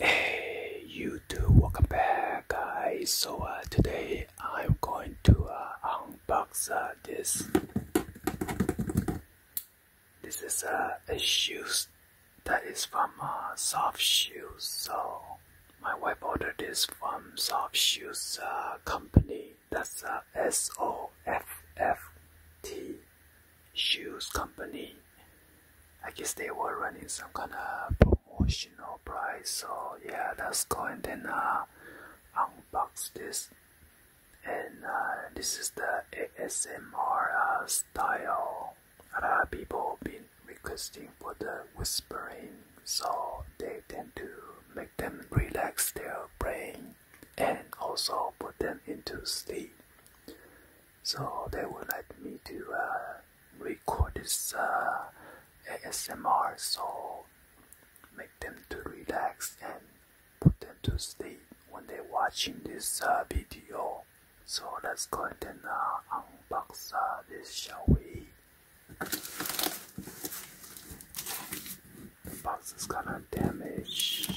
Hey YouTube, welcome back guys. So uh, today I'm going to uh, unbox uh, this. This is a shoes that is from Soft Shoes. So my wife ordered this from Soft Shoes uh, company. That's a uh, S O F F T Shoes company. I guess they were running some kind of promotional price. So yeah, let's go and then uh, unbox this. And this is the ASMR style. A lot been requesting for the whispering, so they tend to make them relax their brain and also put them into sleep. So they would like me to uh, record this uh, ASMR, so make them to relax and put them to sleep when they're watching this uh, video. So let's go and unbox this, shall we? The box is gonna damage.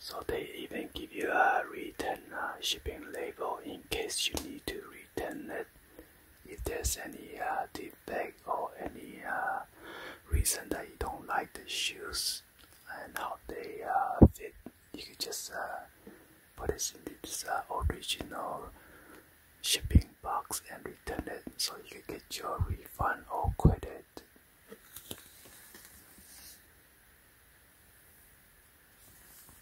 So they even give you a return uh, shipping label in case you need to return it if there's any uh, defect or any uh, reason that you don't like the shoes and how they fit. You can just put it in this original shipping box and return it so you can get your refund or credit.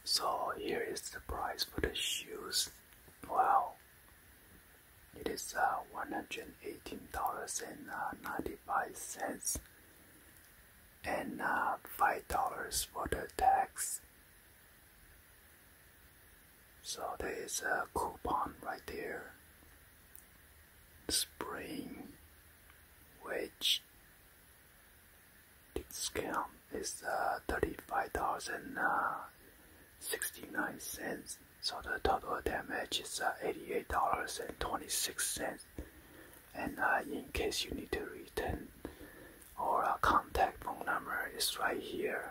So here is the price for the shoes. Wow. It is uh, $118.95 and uh, $5 for the tax. So there is a coupon right there spring, which discount is uh, thirty five dollars and uh, sixty nine cents. So the total damage is uh, eighty-eight dollars and twenty-six cents. And uh, in case you need to return our contact phone number is right here.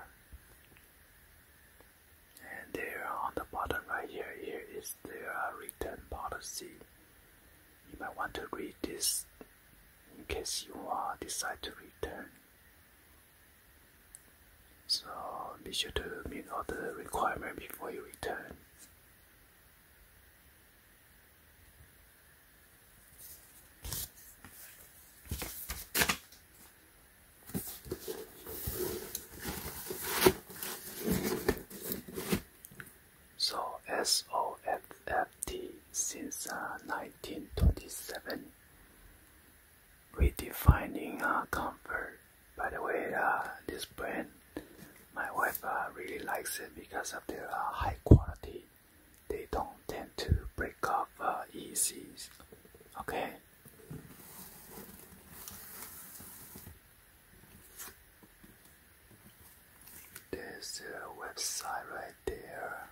And there on the bottom right here, here is their uh, return policy. You might want to read this in case you decide to return. So be sure to meet all the requirements before you return. So SOFFT since 1927 uh, redefining uh, comfort. By the way, uh, this brand, my wife really likes it because of their high quality. They don't tend to break off uh, Okay. There's a website right there.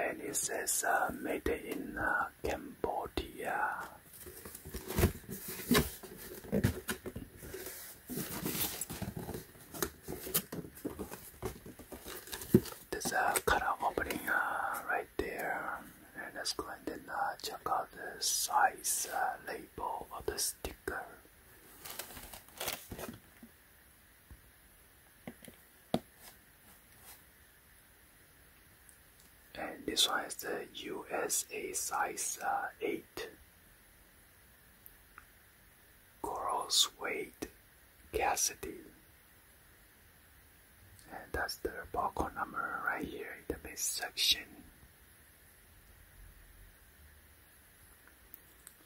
And it says uh, made in uh, Cambodia. There's a color opening uh, right there, and let's go and then uh, check out the size uh, label of the sticker and this one is the USA size uh, 8 Corals Wade Cassidy and that's the barcode number right here in the mid section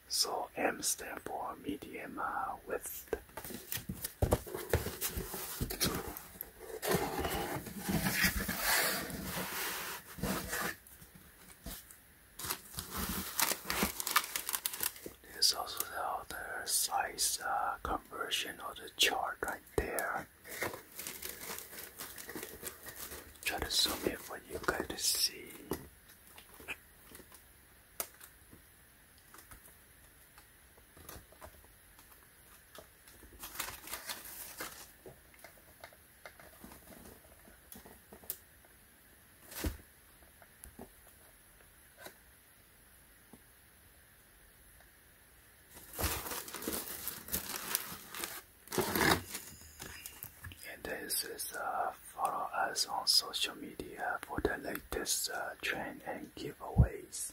so M stand for medium uh, width there's also the other size uh, conversion of the chart right there. Try to zoom in what you guys to see. And this is uh, follow us on social media for the latest uh, trend and giveaways.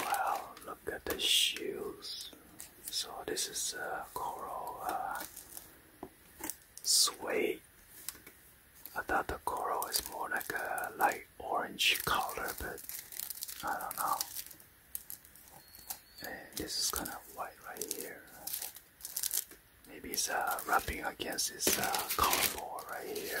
Wow, look at the shoes. So this is a uh, coral uh, suede. I thought the coral is more like a light orange color, but I don't know. this is kind of white right here. Maybe it's wrapping uh, against this uh, right here.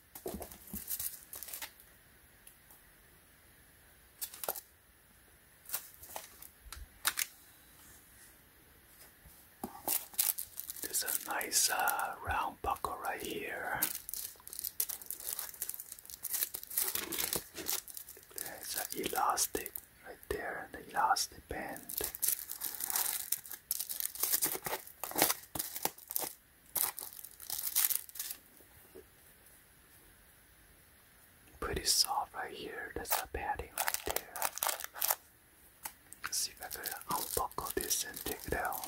There's a nice uh, round buckle right here. There's an elastic right there, the elastic band. Pretty soft right here. That's the padding right there. see if I can unbuckle this and take it out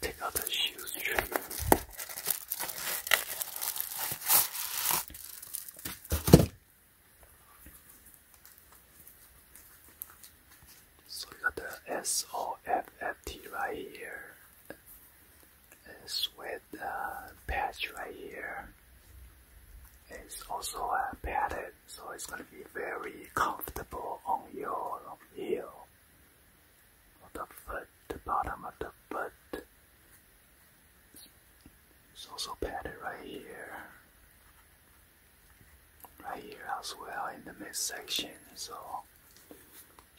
take out the shoes trim. So you got the soft right here, a sweat patch right here. It's also uh, padded, so it's gonna be very comfortable on your heel the foot, the bottom of the foot. It's also padded right here. Right here as well in the midsection. So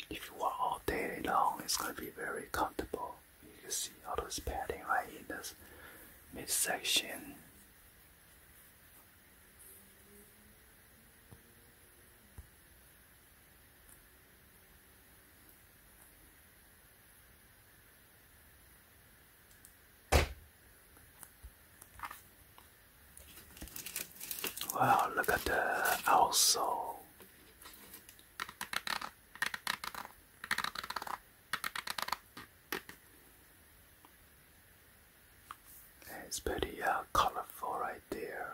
if you walk all day long, it's going to be very comfortable. You can see all those padding right in this midsection. Wow, look at the outsole. It's pretty uh, colorful right there.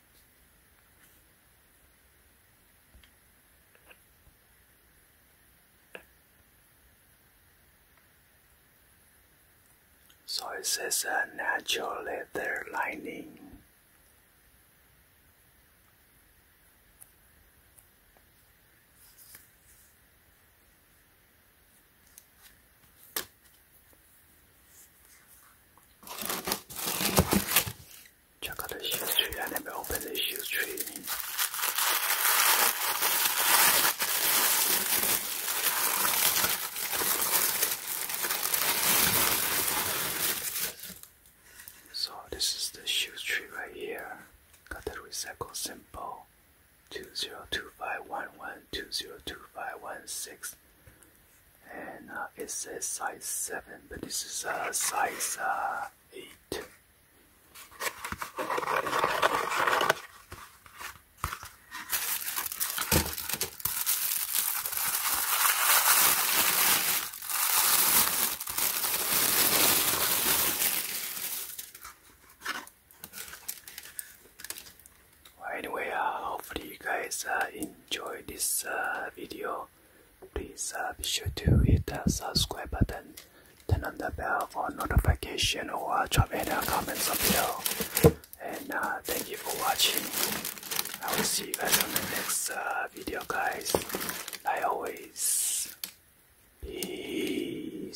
So it says a uh, natural leather lining. Check out the shoe tree. I never opened the shoe tree. So this is the shoes tree right here. Got the recycle symbol. 202511202516 and uh, it says size 7 but this is uh, size uh, 8 anyway, uh, hopefully you guys uh, enjoy this uh, video. Please be sure to hit the subscribe button, turn on the bell for notification, or uh, drop any comments or below. And thank you for watching. I will see you guys on the next video, guys. I always peace.